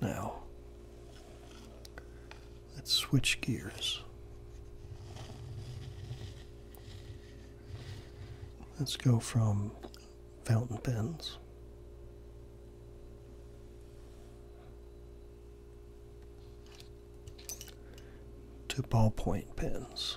Now, let's switch gears. Let's go from fountain pens to ballpoint pens.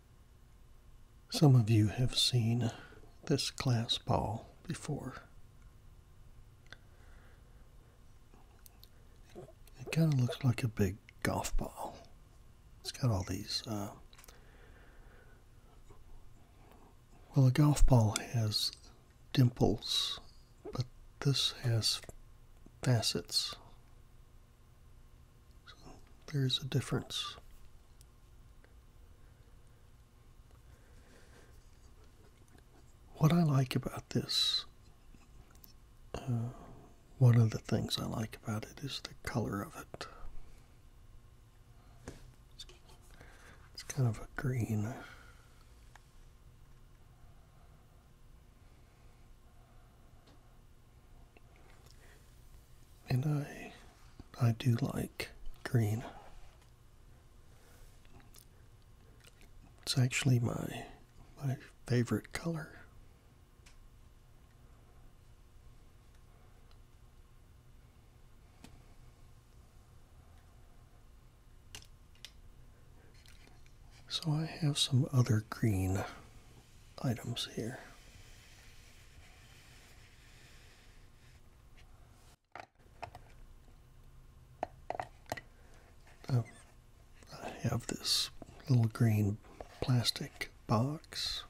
Some of you have seen this glass ball before. It kind of looks like a big golf ball. It's got all these. Uh, well, a golf ball has dimples, but this has facets so there's a difference. What I like about this, uh, one of the things I like about it is the color of it. It's kind of a green. And I I do like green. It's actually my my favorite color. So I have some other green items here. Oh, I have this little green plastic box.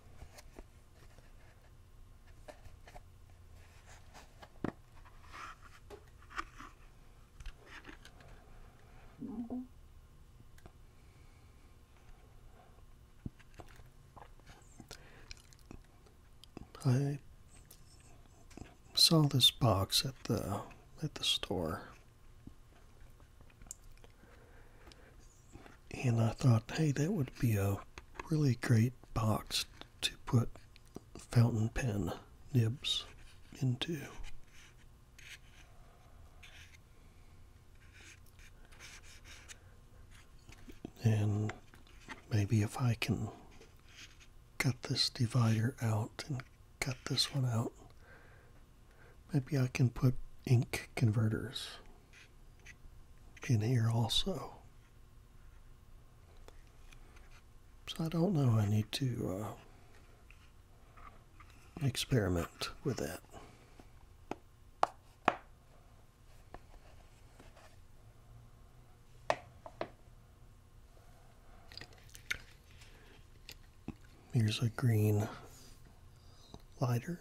I saw this box at the at the store. And I thought, hey, that would be a really great box to put fountain pen nibs into. And maybe if I can cut this divider out and cut this one out, maybe I can put ink converters in here also. So I don't know, I need to uh, experiment with that. Here's a green lighter.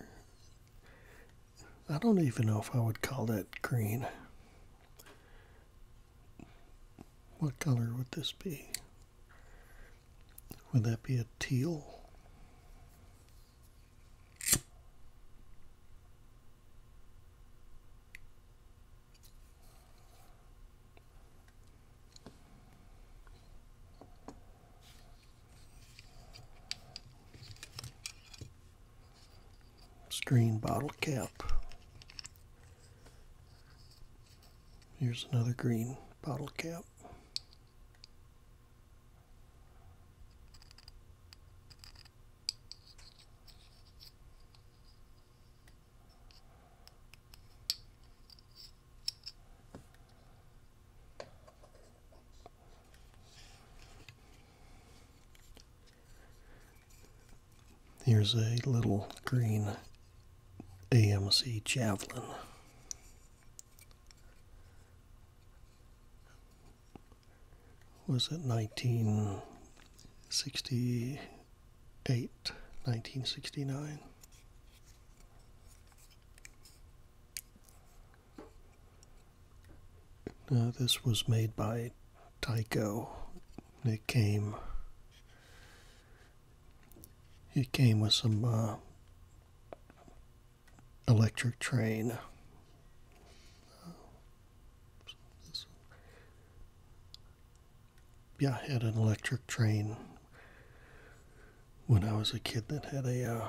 I don't even know if I would call that green. What color would this be? Would that be a teal? Green bottle cap. Here's another green bottle cap. Here's a little green AMC Javelin was it 1968, 1969? Now, this was made by Tyco. It came. It came with some uh, electric train. Uh, yeah, I had an electric train when I was a kid that had a uh,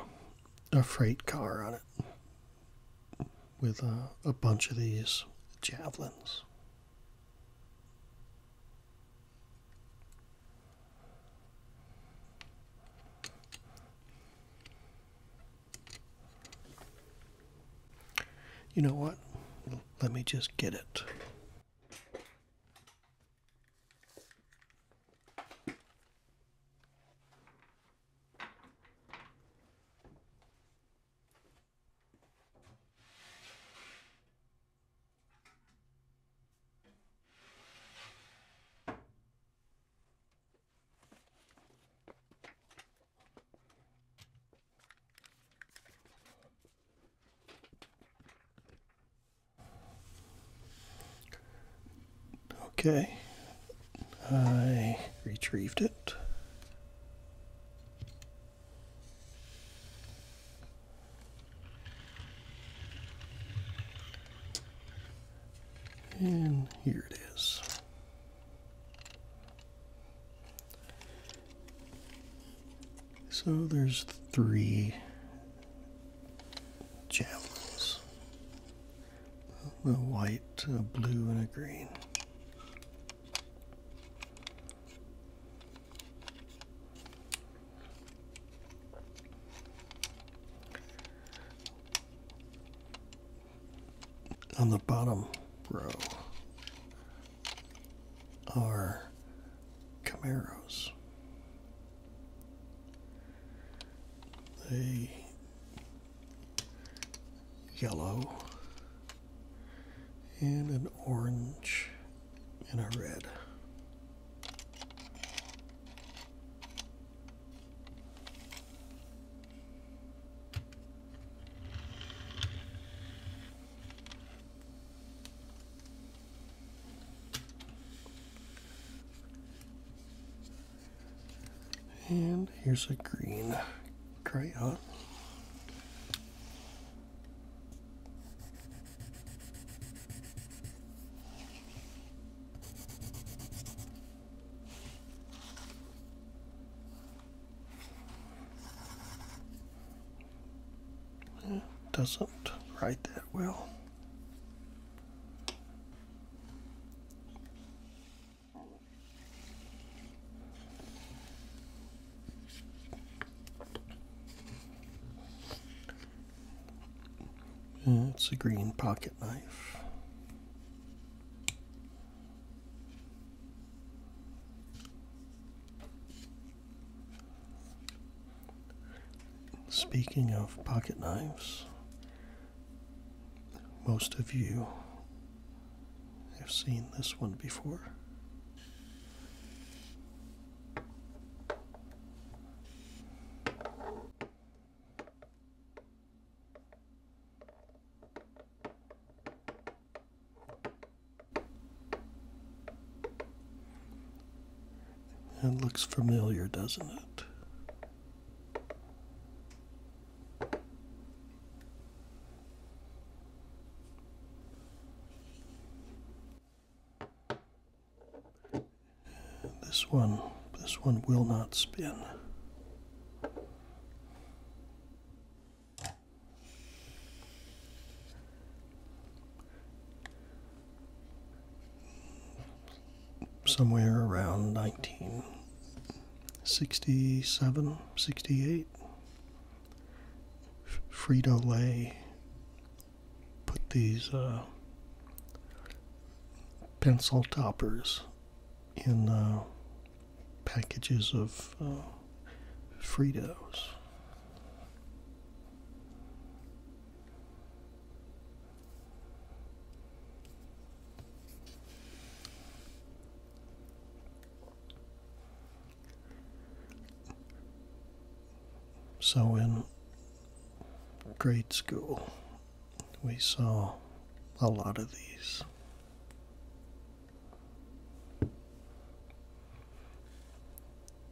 a freight car on it with uh, a bunch of these javelins. You know what? Let me just get it. Okay, I retrieved it. And here it is. So there's three javelins. A white, a blue, and a green on the bottom row are Camaros. They yellow and an orange and a red. And here's a green crayon. It doesn't write that well. Hmm, it's a green pocket knife. Speaking of pocket knives, most of you have seen this one before. It looks familiar, doesn't it? This one, this one will not spin somewhere around 1967, 68. Frito Lay put these uh, pencil toppers in uh, packages of uh, Fritos. So in grade school, we saw a lot of these.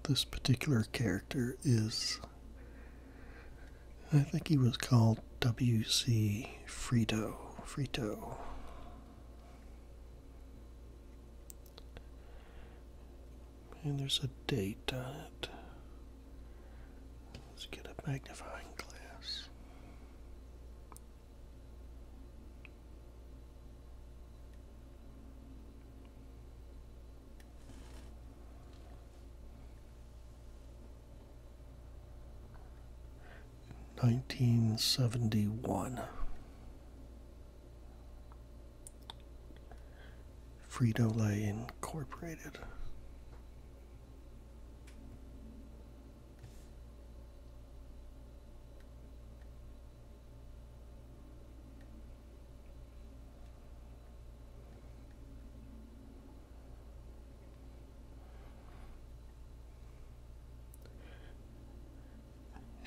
This particular character is, I think he was called W.C. Frito. Frito. And there's a date on it. Let's get a magnifying glass. Nineteen seventy one. Frito Lay Incorporated.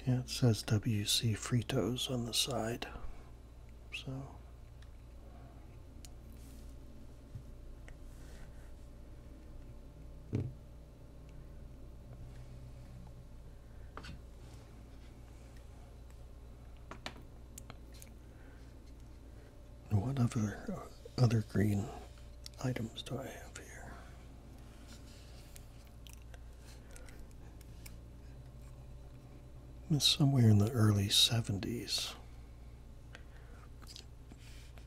Yeah, it says WC Fritos on the side. So what other uh, other green items do I have here? It's somewhere in the early 70s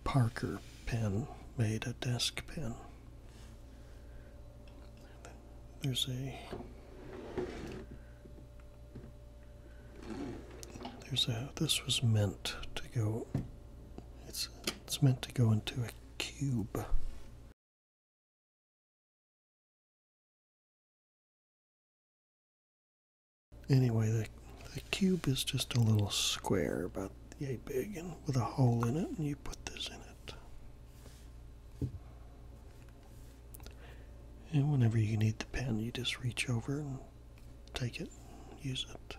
Parker pen made a desk pen. There's a there's a this was meant to go it's it's meant to go into a cube. Anyway, the, cube is just a little square about yay big and with a hole in it, and you put this in it. And whenever you need the pen, you just reach over and take it, use it.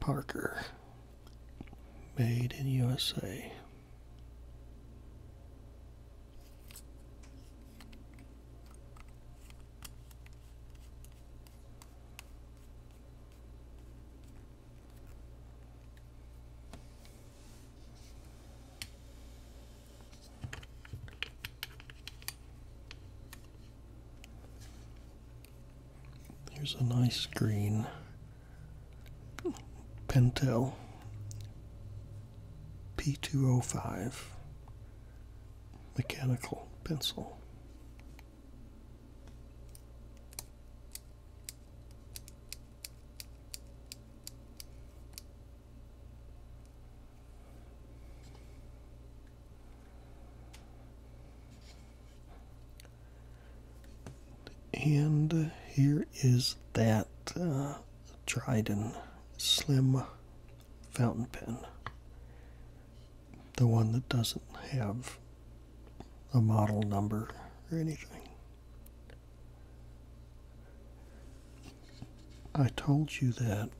Parker. Made in USA. Here's a nice green Pentel P205 mechanical pencil. And here is that uh, Dryden Slim fountain pen. The one that doesn't have a model number or anything. I told you that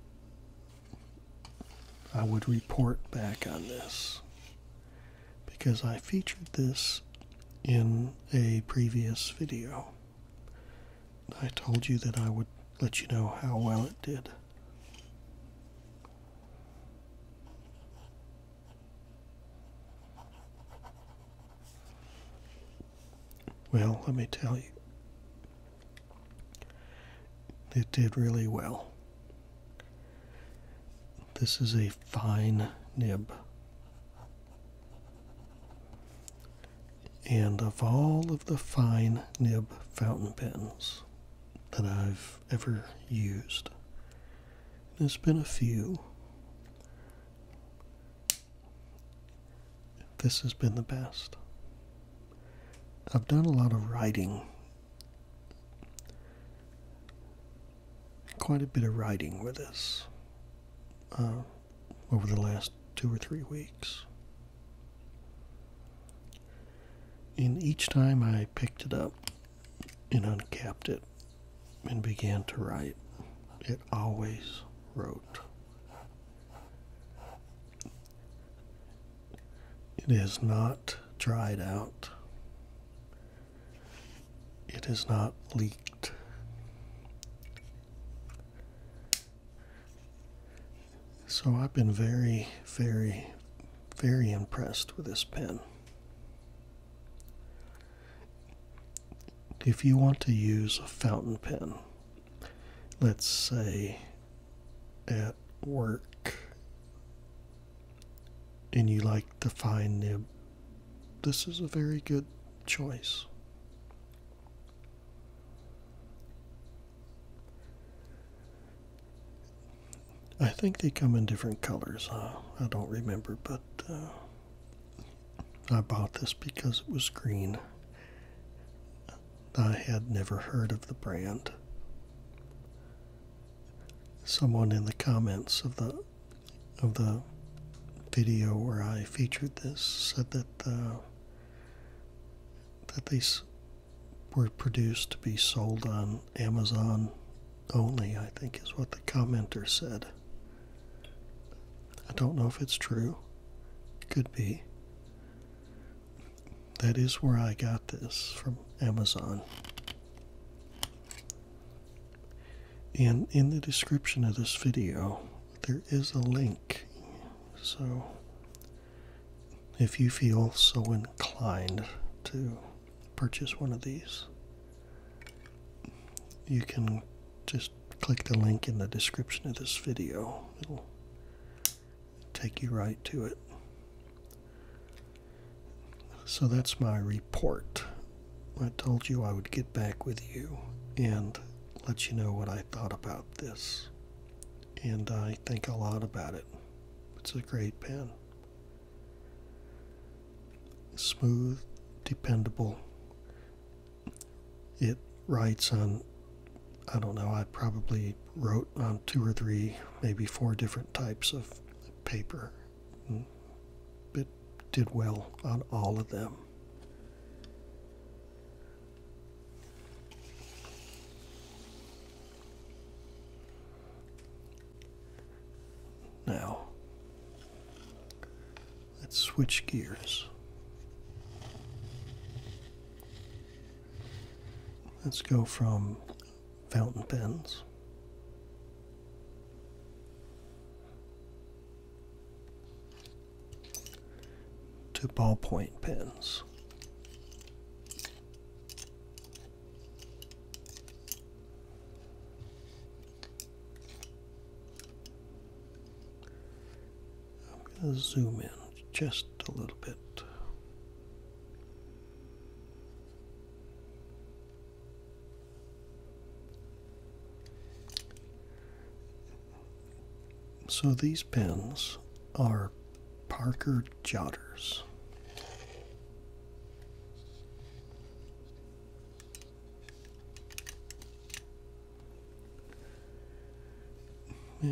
I would report back on this because I featured this in a previous video. I told you that I would let you know how well it did. Well, let me tell you, it did really well. This is a fine nib. And of all of the fine nib fountain pens that I've ever used, there's been a few. This has been the best. I've done a lot of writing, quite a bit of writing with this uh, over the last two or three weeks. And each time I picked it up and uncapped it and began to write, it always wrote. It is not dried out. It is not leaked. So I've been very, very, very impressed with this pen. If you want to use a fountain pen let's say, at work, and you like the fine nib, this is a very good choice. I think they come in different colors. I don't remember, but uh, I bought this because it was green. I had never heard of the brand. Someone in the comments of the of the video where I featured this said that the, uh, that these were produced to be sold on Amazon only, I think is what the commenter said. I don't know if it's true. Could be. That is where I got this from Amazon. And in the description of this video, there is a link. So if you feel so inclined to purchase one of these, you can just click the link in the description of this video take you right to it. So that's my report. I told you I would get back with you and let you know what I thought about this. And I think a lot about it. It's a great pen. Smooth, dependable. It writes on, I don't know, I probably wrote on two or three, maybe four different types of paper. Mm, it did well on all of them. Now, let's switch gears. Let's go from fountain pens. To ballpoint pens. I'm going to zoom in just a little bit. So these pens are Parker Jotters. Yeah,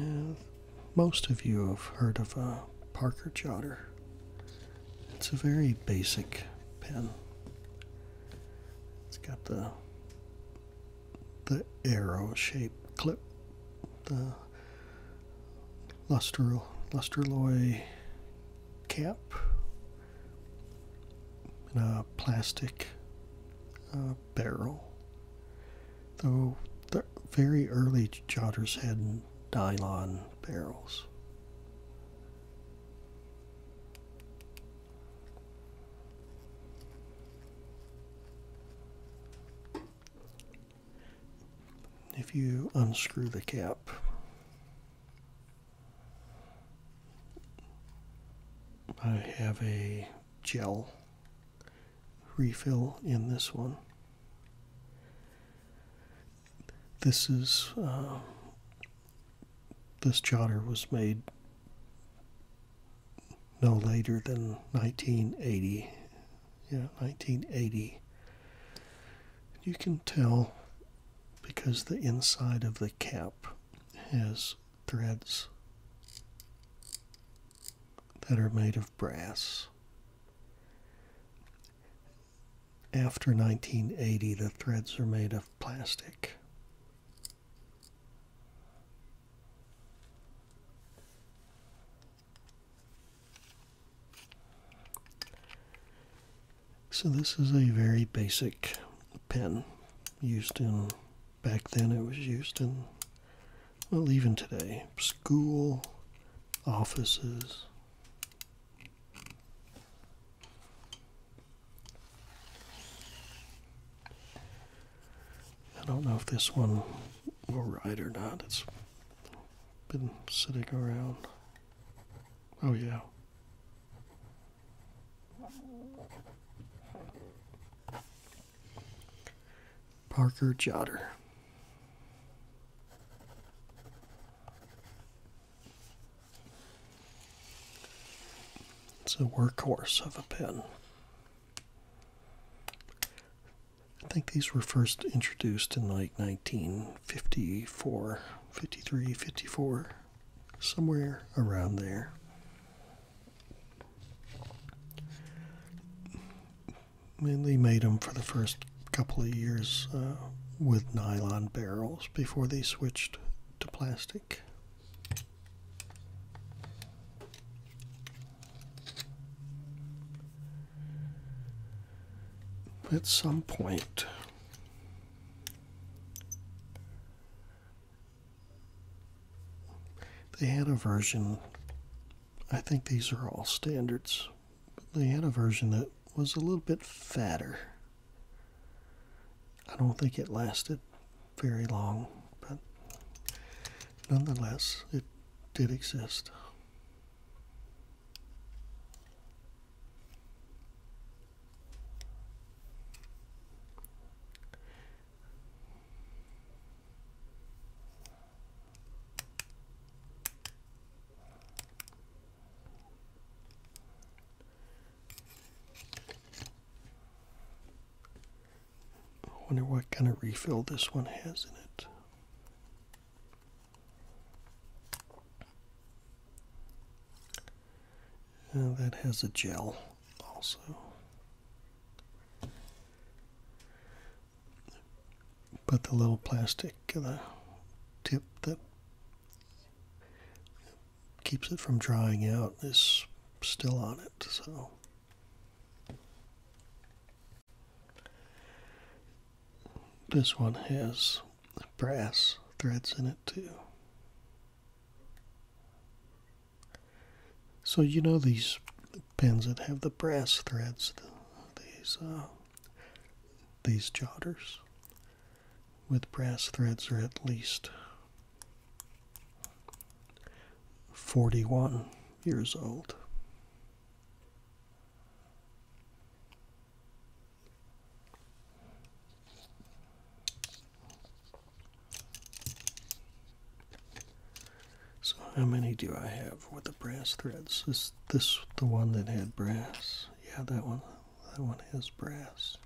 most of you have heard of a uh, Parker jotter. It's a very basic pen. It's got the the arrow-shaped clip, the luster lusterloy cap, and a plastic uh, barrel though the very early jotters had dylon barrels. If you unscrew the cap, I have a gel refill in this one. This is uh, this jotter was made no later than 1980. Yeah, 1980. You can tell because the inside of the cap has threads that are made of brass. After 1980, the threads are made of plastic. So this is a very basic pen used in, back then it was used in well, even today, school, offices. I don't know if this one will ride or not. It's been sitting around. Oh, yeah. Parker Jotter. It's a workhorse of a pen. I think these were first introduced in like 1954, 53, 54, somewhere around there and they made them for the first couple of years uh, with nylon barrels before they switched to plastic. At some point, they had a version I think these are all standards. But they had a version that was a little bit fatter. I don't think it lasted very long, but nonetheless, it did exist. I wonder what kind of refill this one has in it. Uh, that has a gel also. But the little plastic uh, tip that keeps it from drying out is still on it. So this one has brass threads in it too. So you know these Pens that have the brass threads, these uh, these jotters with brass threads are at least 41 years old. So how many do I have with the brass threads? Is this the one that had brass? Yeah, that one. That one has brass.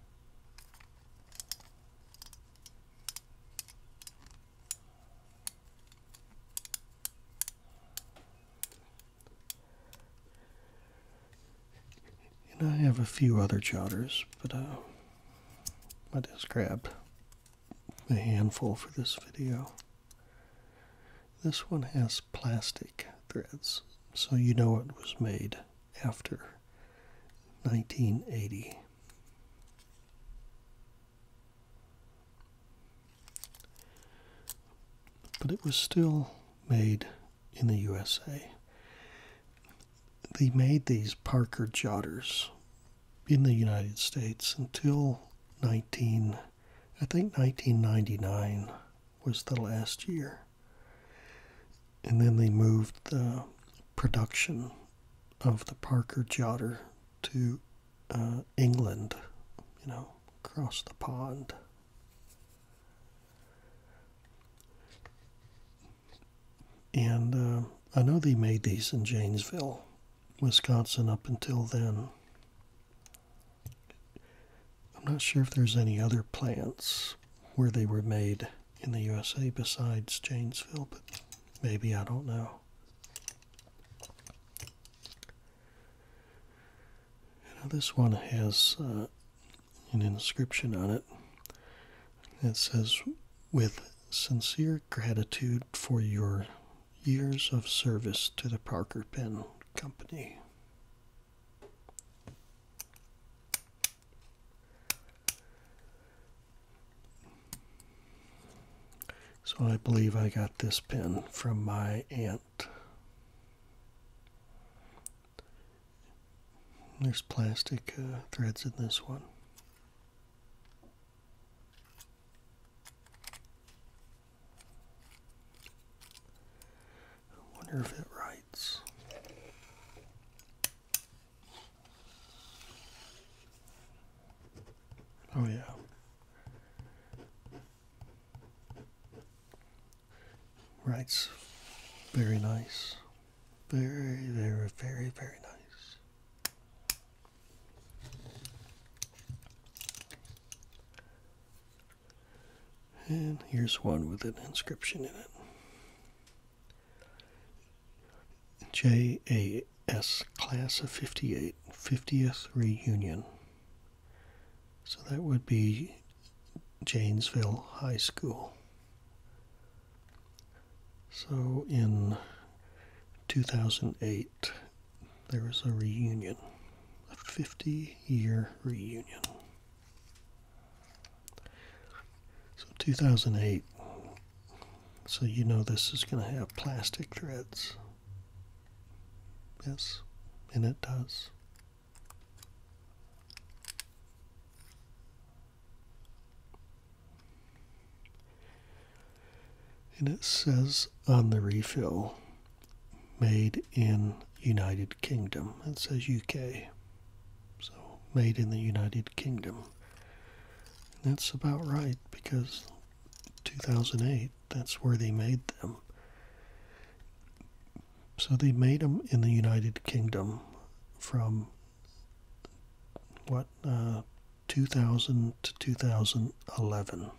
And I have a few other jotters, but uh, I just grabbed a handful for this video. This one has plastic threads, so you know it was made after 1980. But it was still made in the USA. They made these Parker jotters in the United States until 19 I think 1999 was the last year. And then they moved the production of the Parker Jotter to uh, England, you know, across the pond. And uh, I know they made these in Janesville, Wisconsin, up until then. I'm not sure if there's any other plants where they were made in the USA besides Janesville, but maybe I don't know. Now this one has uh, an inscription on it that says, with sincere gratitude for your years of service to the Parker Pen Company. So I believe I got this pen from my aunt. There's plastic uh, threads in this one. I wonder if it writes. Oh, yeah. Writes very nice. Very, very, very, very nice. And here's one with an inscription in it. JAS Class of 58, 50th Reunion. So that would be Janesville High School. So in 2008, there is a reunion, a 50 year reunion. So 2008, so you know this is going to have plastic threads. Yes, and it does. And it says on the refill made in United Kingdom. It says UK. So made in the United Kingdom. that's about right because 2008, that's where they made them. So they made them in the United Kingdom from what uh, 2000 to 2011.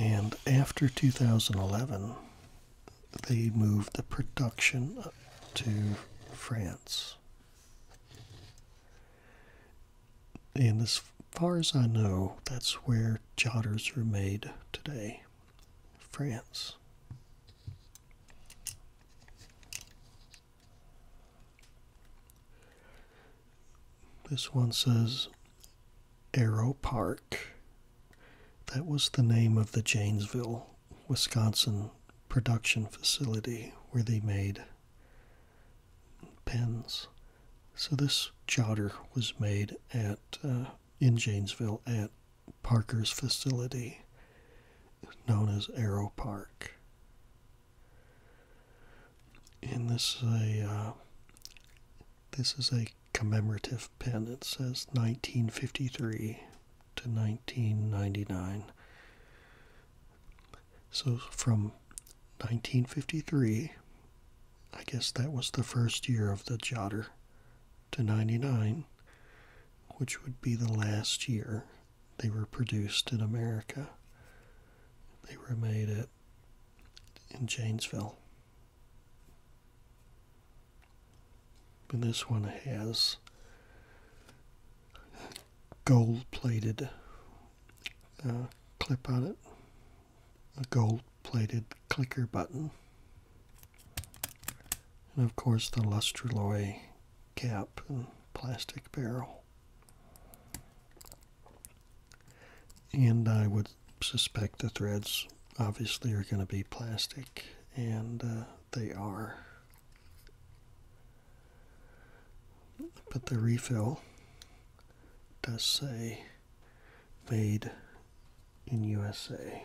And after 2011, they moved the production to France. And as far as I know, that's where jotters are made today, France. This one says Arrow Park. That was the name of the Janesville, Wisconsin production facility where they made pens. So this jotter was made at uh, in Janesville at Parker's facility, known as Arrow Park. And this is a uh, this is a commemorative pen. It says 1953 to 1999. So from 1953, I guess that was the first year of the Jotter, to 99, which would be the last year they were produced in America. They were made at in Janesville. But this one has gold plated uh, clip on it, a gold plated clicker button, and of course the Lustraloy cap and plastic barrel. And I would suspect the threads obviously are going to be plastic, and uh, they are. But the refill does say made in USA.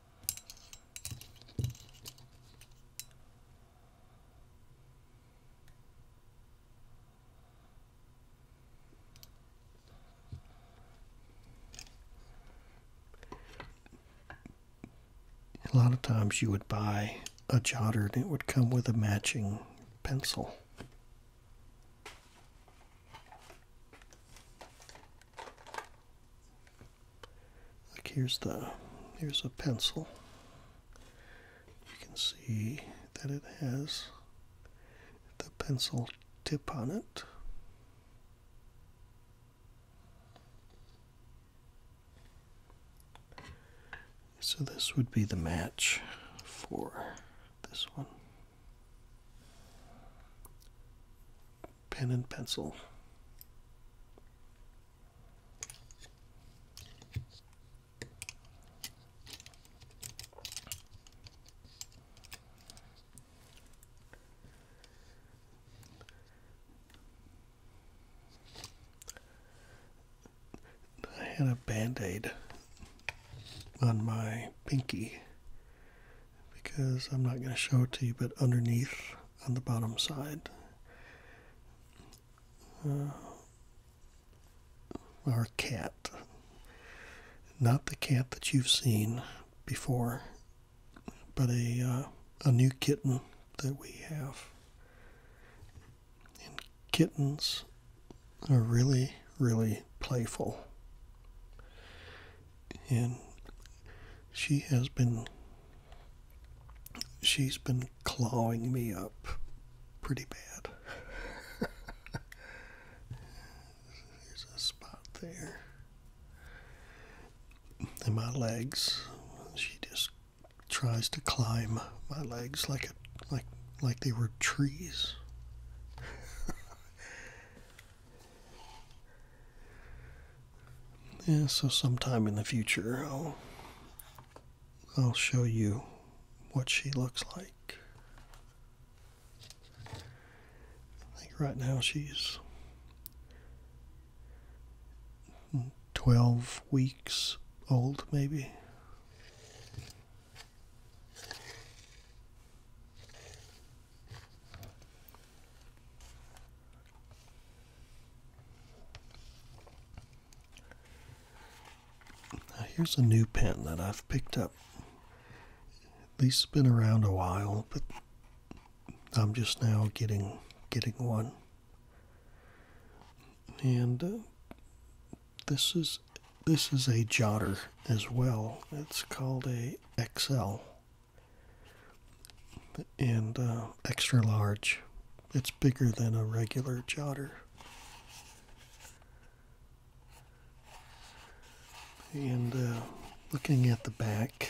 A lot of times you would buy a jotter and it would come with a matching pencil like here's the here's a pencil you can see that it has the pencil tip on it so this would be the match for this one pen and pencil. I had a band aid on my pinky because I'm not going to show it to you, but underneath on the bottom side. Uh, our cat. Not the cat that you've seen before, but a, uh, a new kitten that we have. And kittens are really, really playful and she has been she's been clawing me up pretty bad. There's a spot there. In my legs, she just tries to climb my legs like it, like like they were trees. Yeah, so sometime in the future, I'll I'll show you what she looks like. I think right now she's 12 weeks old, maybe. Now, here's a new pen that I've picked up. These has been around a while, but I'm just now getting getting one. And uh, this is this is a jotter as well. It's called a XL and uh, extra large. It's bigger than a regular jotter. And uh, looking at the back,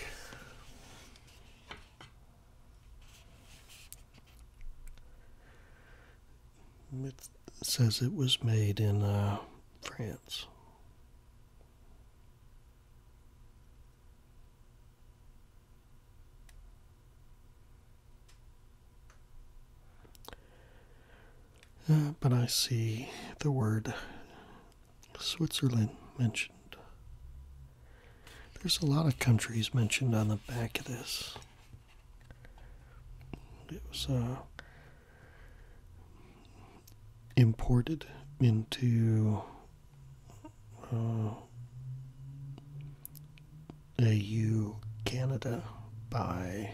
it says it was made in uh, France. Uh, but I see the word Switzerland mentioned. There's a lot of countries mentioned on the back of this. It was uh, imported into uh, AU Canada by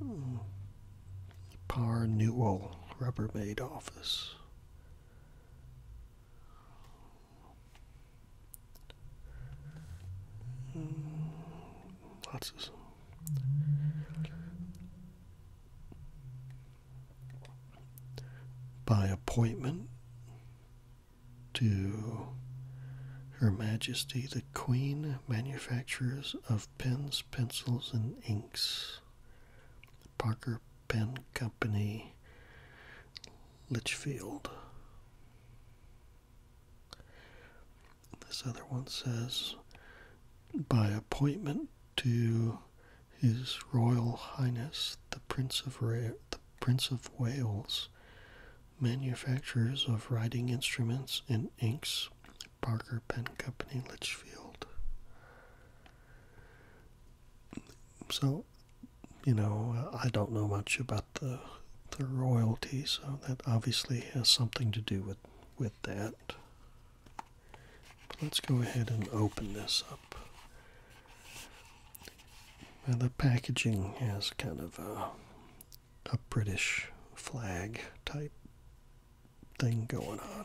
um, Par Newell Rubbermaid Office. Um, lots by appointment to Her Majesty the Queen, manufacturers of pens, pencils, and inks, Parker Pen Company, Litchfield. This other one says, by appointment to His Royal Highness the Prince of the Prince of Wales, manufacturers of writing instruments and inks, Parker Pen Company, Litchfield. So, you know, I don't know much about the the royalty, so that obviously has something to do with with that let's go ahead and open this up. Now the packaging has kind of a British flag type thing going on.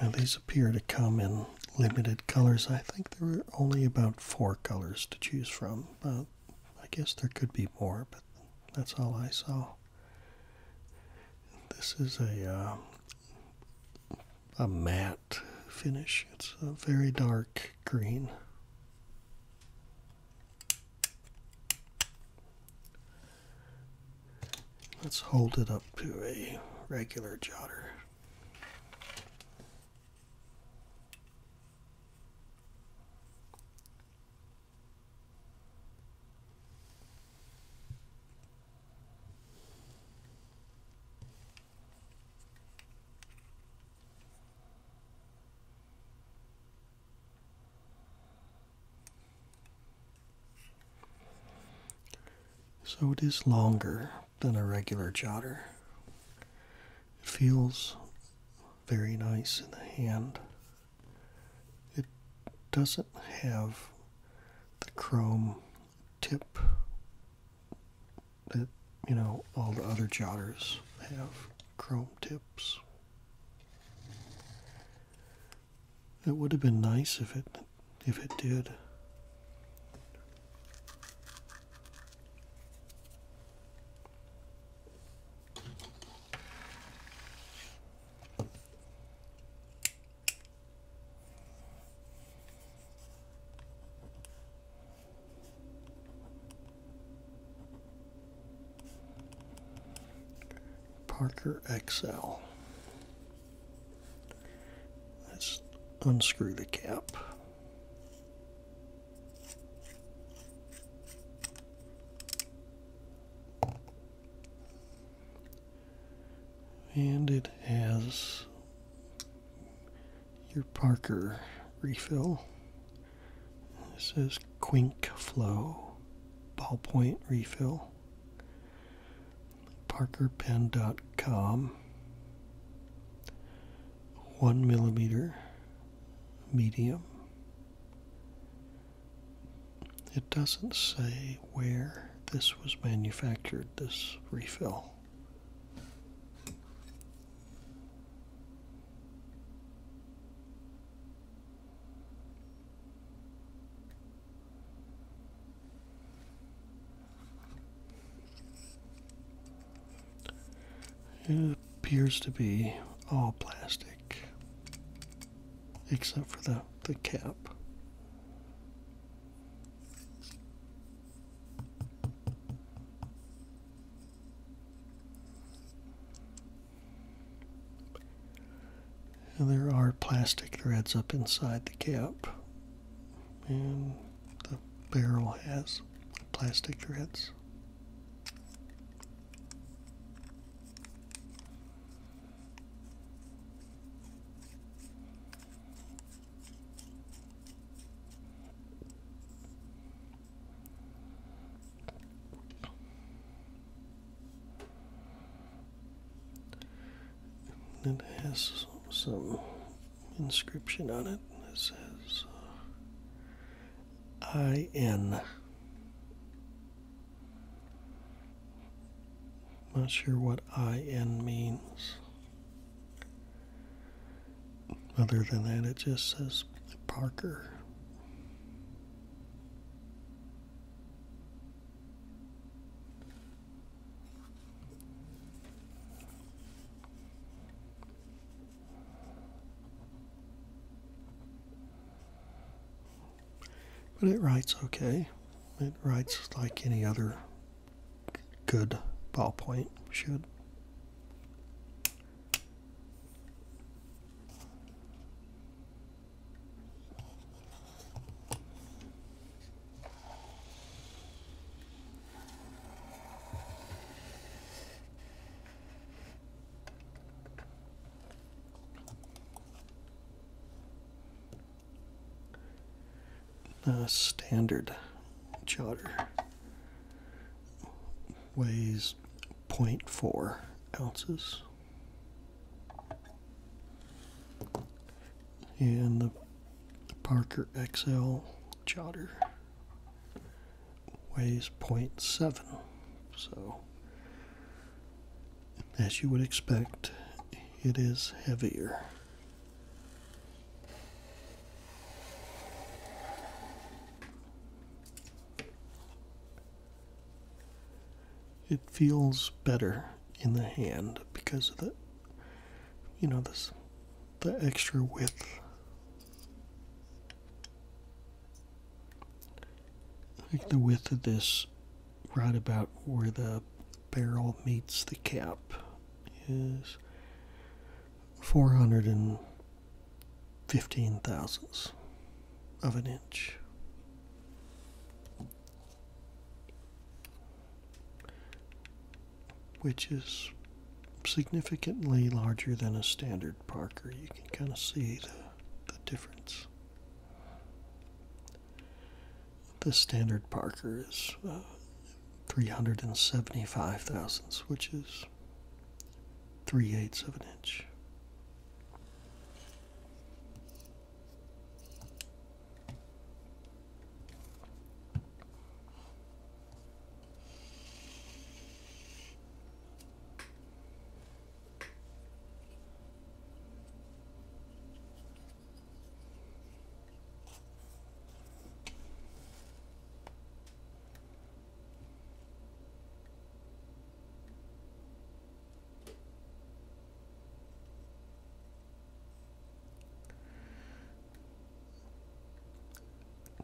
Now, these appear to come in limited colors. I think there were only about four colors to choose from. but I guess there could be more, but that's all I saw. This is a um, a matte finish. It's a very dark green. Let's hold it up to a regular jotter. So it is longer than a regular jotter. It feels very nice in the hand it doesn't have the chrome tip that you know all the other jotters have chrome tips. It would have been nice if it if it did. Parker XL. Let's unscrew the cap. And it has your Parker refill. This is Quink Flow ballpoint refill. ParkerPen.com. One millimeter medium. It doesn't say where this was manufactured, this refill. It appears to be all plastic except for the, the cap. there are plastic threads up inside the cap, and the barrel has plastic threads. And it has some inscription on it that says uh, IN. Not sure what IN means. Other than that, it just says Parker. But it writes okay. It writes like any other good ballpoint should. The standard jotter weighs 0.4 ounces. And the Parker XL jotter weighs 0.7. So as you would expect, it is heavier. It feels better in the hand because of the, you know, this, the extra width. Like the width of this right about where the barrel meets the cap is 415 thousandths of an inch. Which is significantly larger than a standard Parker. You can kind of see the, the difference. The standard Parker is uh, 375 thousandths, which is 3 eighths of an inch.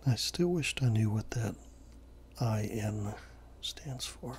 I still wished I knew what that IN stands for.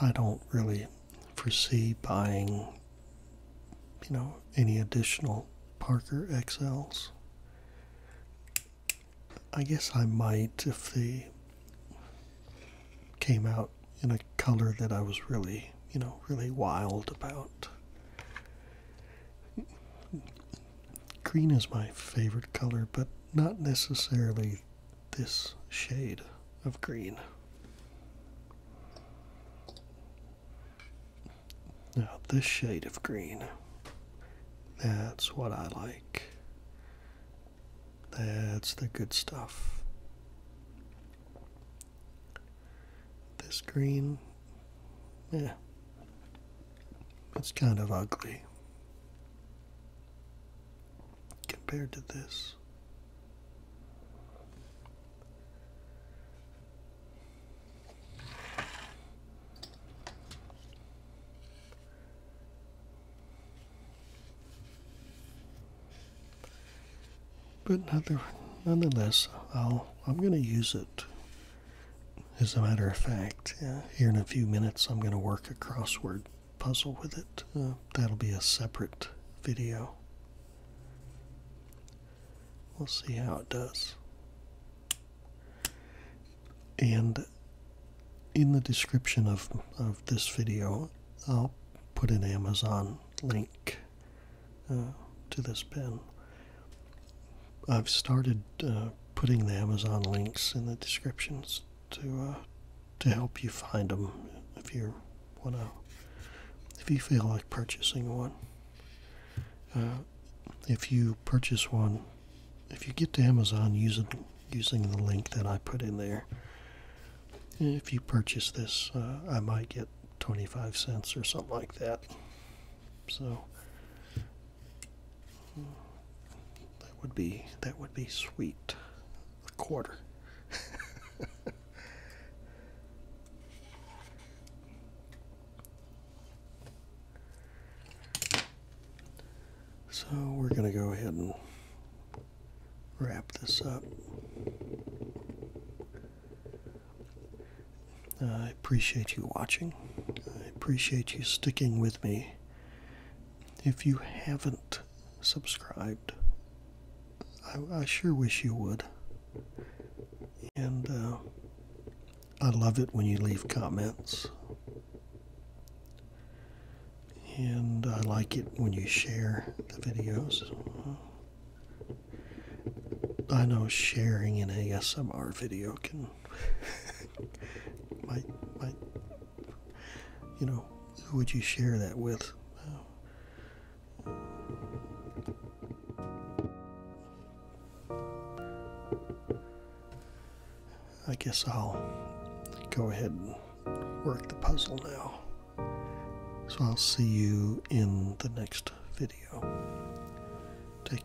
I don't really foresee buying, you know, any additional Parker XLs. I guess I might if they came out in a color that I was really, you know, really wild about. Green is my favorite color, but not necessarily this shade of green. Now, this shade of green, that's what I like. That's the good stuff. This green, yeah, it's kind of ugly compared to this. But nonetheless, I'll, I'm going to use it as a matter of fact, here in a few minutes, I'm going to work a crossword puzzle with it. Uh, that'll be a separate video. We'll see how it does. And in the description of, of this video, I'll put an Amazon link uh, to this pen. I've started uh, putting the Amazon links in the descriptions to uh, to help you find them if you want to if you feel like purchasing one. Uh, if you purchase one, if you get to Amazon using using the link that I put in there, if you purchase this, I might get 25 cents or something like that. So that would be that would be sweet. A quarter. so we're going to go ahead and wrap this up. I appreciate you watching. I appreciate you sticking with me if you haven't subscribed, I, sure wish you would. And uh, I love it when you leave comments. And I like it when you share the videos. I know sharing an ASMR video can might might you know who would you share that with I guess I'll go ahead and work the puzzle now. So I'll see you in the next video. Take